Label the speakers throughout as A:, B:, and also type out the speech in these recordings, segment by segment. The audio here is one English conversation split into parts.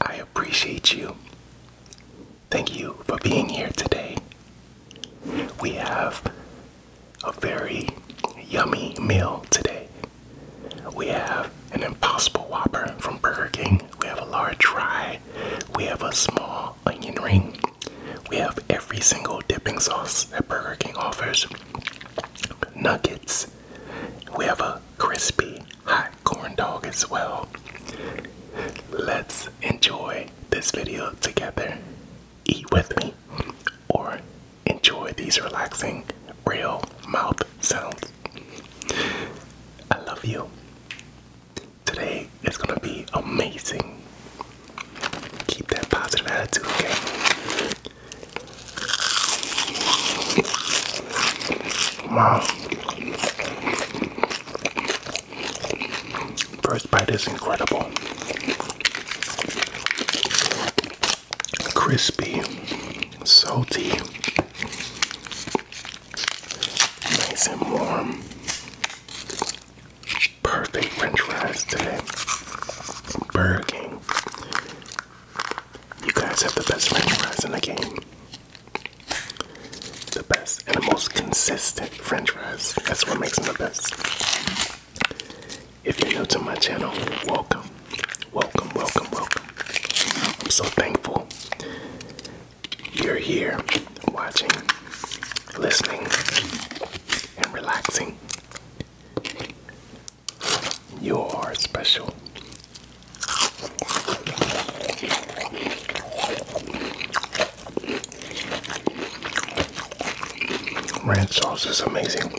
A: I appreciate you. Thank you for being here today. We have a very yummy meal today. We have an impossible whopper from Burger King. We have a large fry. We have a small onion ring. We have every single dipping sauce that Burger King offers. Nuggets. We have a crispy hot corn dog as well. Let's enjoy this video together eat with me, or enjoy these relaxing, real mouth sounds. I love you. Today is gonna be amazing. Keep that positive attitude, okay? Wow. First bite is incredible. Crispy, salty, nice and warm. Perfect French fries today. Burger King. You guys have the best French fries in the game. The best and the most consistent french fries. That's what makes them the best. If you're new to my channel, welcome. Welcome, welcome, welcome. I'm so thankful you're here watching, listening, and relaxing. You are special. Ranch sauce is amazing.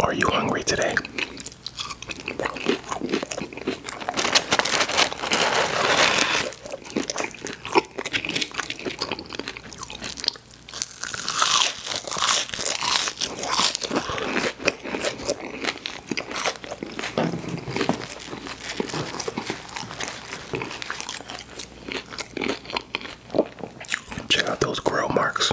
A: Are you hungry today? Check out those grill marks.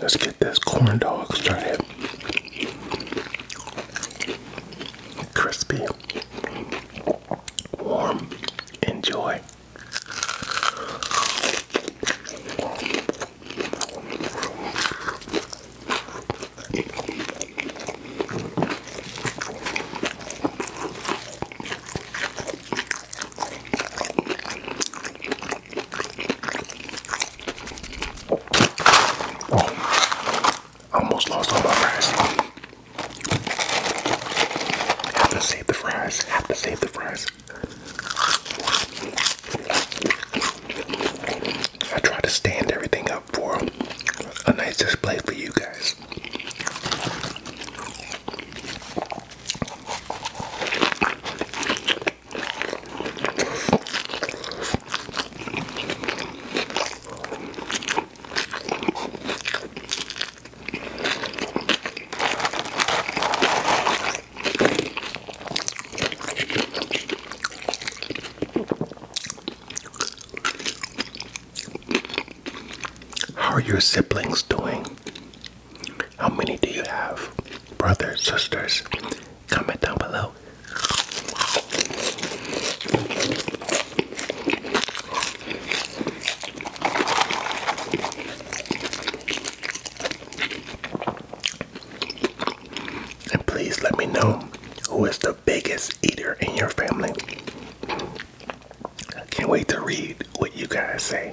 A: Let's get this corn dog started. Crispy, warm, enjoy. Oh. I almost lost all my fries. Have to save the fries. Have to save the fries. I tried to stand everything up for a nice display for you guys. How are your siblings doing? How many do you have? Brothers, sisters? Comment down below. And please let me know who is the biggest eater in your family. I can't wait to read what you guys say.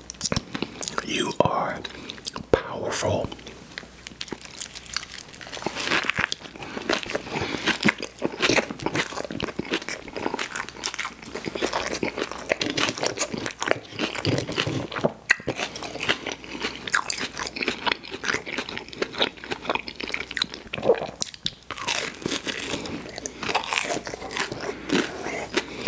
A: You are powerful.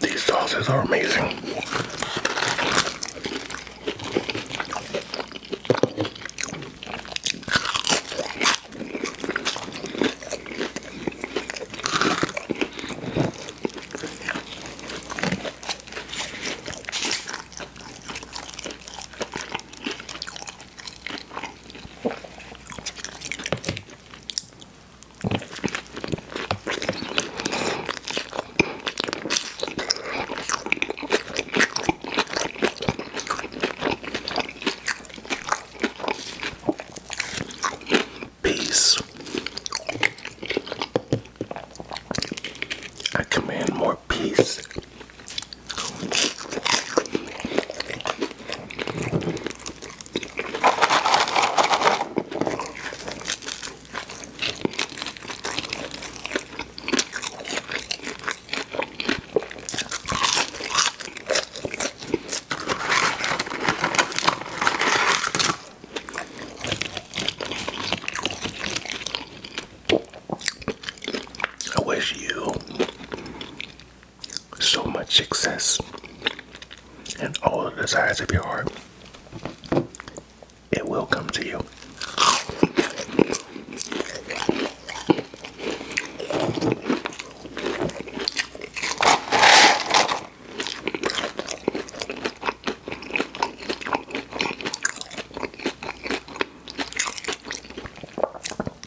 A: These sauces are amazing. Peace. I command more peace. I wish you so much success and all the desires of your heart, it will come to you.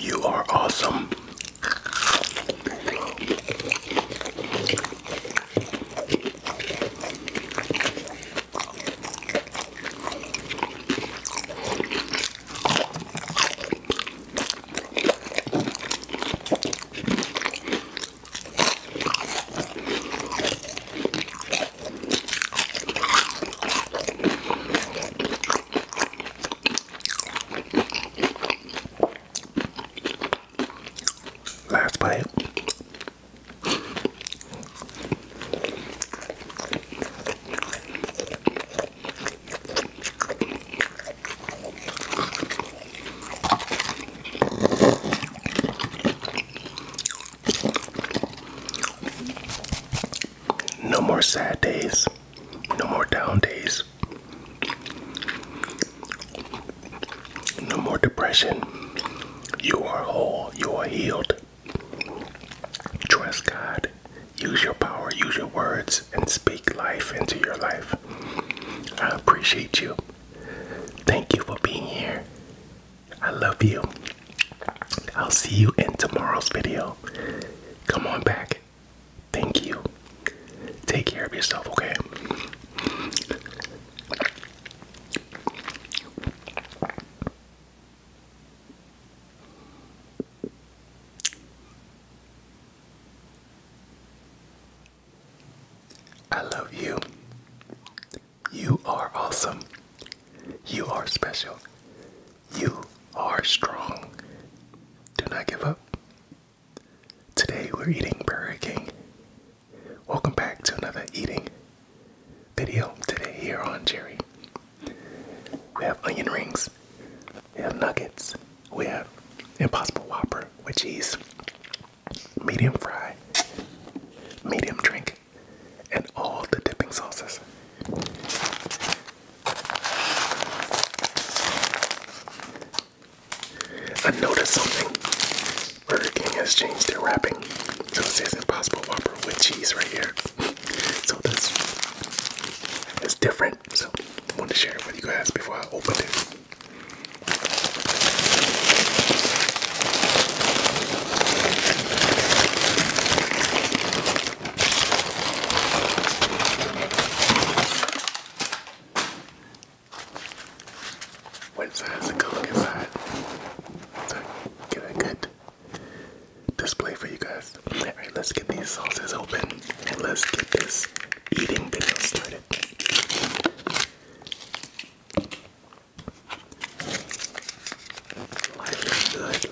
A: You are awesome. Last bite. No more sad days. No more down days. No more depression. You are whole. You are healed. Trust God. Use your power, use your words, and speak life into your life. I appreciate you. Thank you for being here. I love you. I'll see you in tomorrow's video. Come on back. Thank you. Take care of yourself, okay? I love you. You are awesome. You are special. You are strong. Do not give up. Today we're eating Burger King. Welcome back to another eating video today here on Jerry. We have onion rings, we have nuggets, we have Impossible Whopper with cheese, medium fry, medium drink, and all the dipping sauces. I noticed something. Burger King has changed their wrapping. So it says Impossible Whopper with cheese right here. so that's it's different. So I wanted to share it with you guys before I open this. Once it has a cook inside, get a good display for you guys. Alright, let's get these sauces open and let's get this eating video started.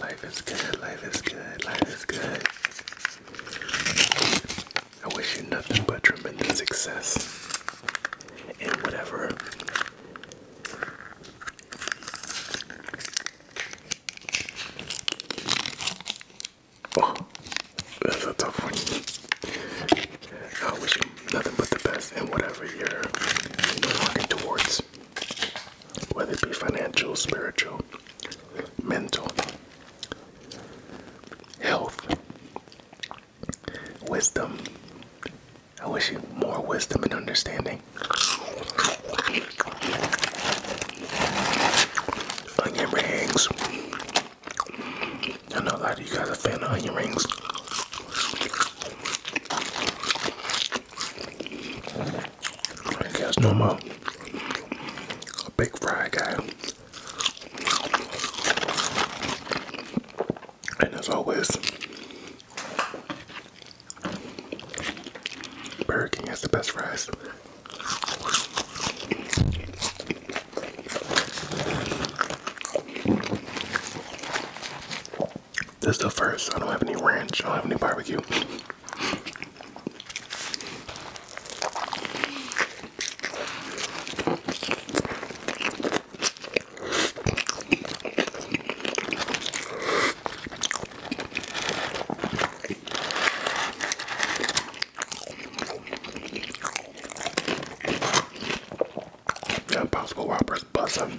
A: Life is good, life is good, life is good, life is good. I wish you nothing but tremendous success and whatever Oh, that's a tough one. I wish you nothing but the best and whatever you're working towards. Whether it be financial, spiritual, mental health, wisdom. I wish you more wisdom and understanding. Onion rings. I know a lot of you guys are fan of onion rings. I guess no more. A big fry guy. And as always, Burger King has the best fries. This is the first. I don't have any ranch. I don't have any barbecue. That Bosco Whopper's buzzing.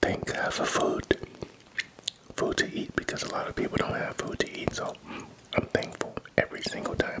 A: Thank God for food. Food to eat because a lot of people don't have food to eat, so I'm thankful every single time.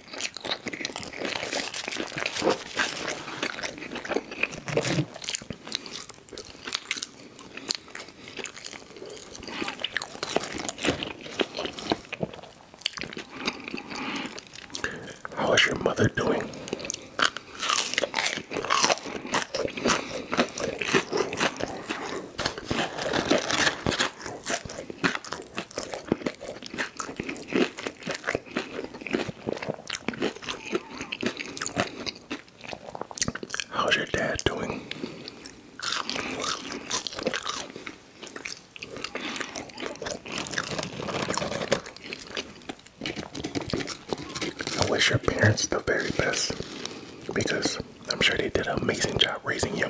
A: How is your mother doing? How's your dad doing? I wish your parents the very best because I'm sure they did an amazing job raising you.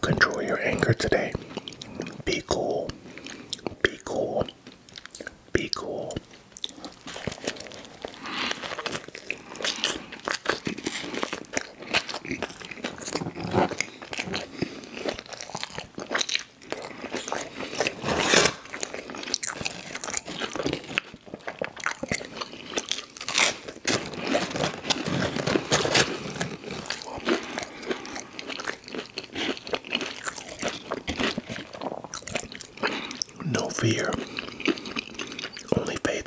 A: Control your anger today. Be cool. Be cool be cool. No fear, only faith.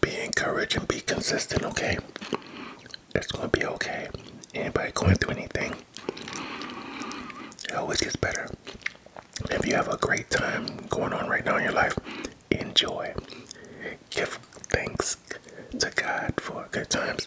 A: Be encouraged and be consistent, okay? it's gonna be okay. Anybody going through anything, it always gets better. If you have a great time going on right now in your life, enjoy. Give thanks to God for good times.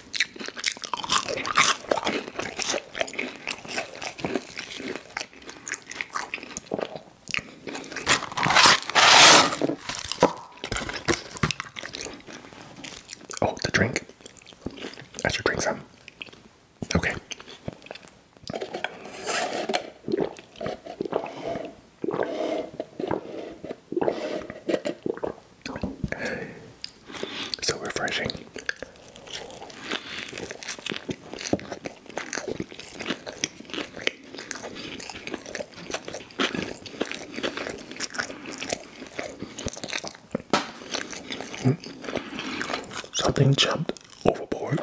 A: Oh, the drink. I should drink some. Okay. So refreshing. Hmm. Something jumped overboard.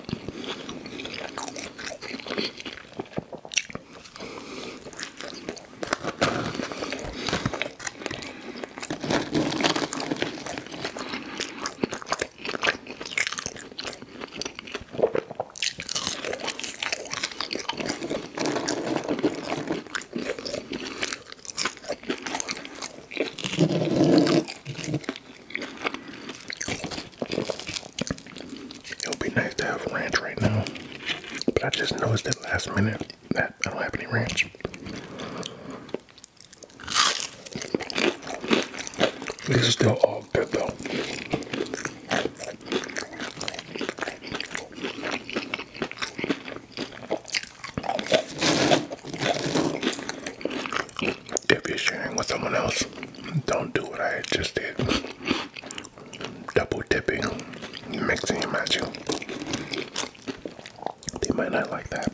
A: It would be nice to have ranch right now, but I just noticed it last minute that. I don't have any ranch. This is still all good though. If you're sharing with someone else, don't do what I just did. Double tipping, mixing and matching. They might not like that.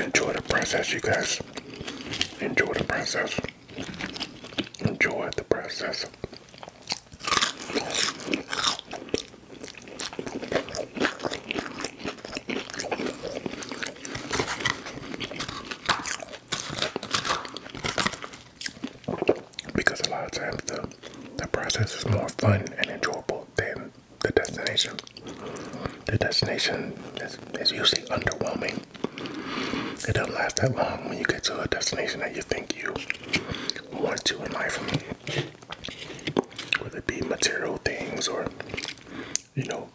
A: Enjoy the process, you guys. Enjoy the process. Enjoy the process. Because a lot of times the the process is more fun and enjoyable than the destination. The destination is, is usually underwhelming. It doesn't last that long when you get to a destination that you think you want to in life, whether it be material things or you know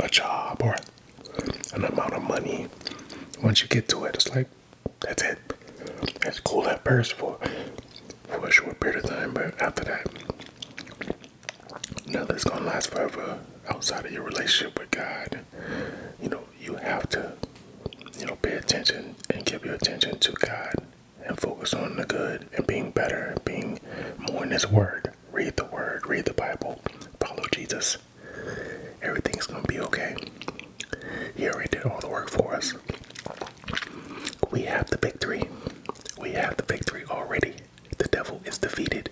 A: a job or an amount of money. Once you get to it, it's like that's it. It's cool at first for for a short period of time, but after that, nothing's gonna last forever outside of your relationship with God. You know, you have to, you know, pay attention and give your attention to God and focus on the good and being better, and being more in His Word. Read the Word, read the Bible, follow Jesus. Everything's going to be okay. He already did all the work for us. We have the victory. We have the victory already. The devil is defeated.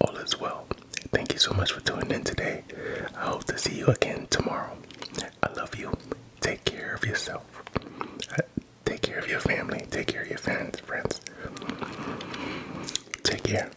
A: All is well. Thank you so much for tuning in today. I hope to see you again tomorrow. I love you. Take care of yourself. Uh, take care of your family. Take care of your fans, friends. Take care.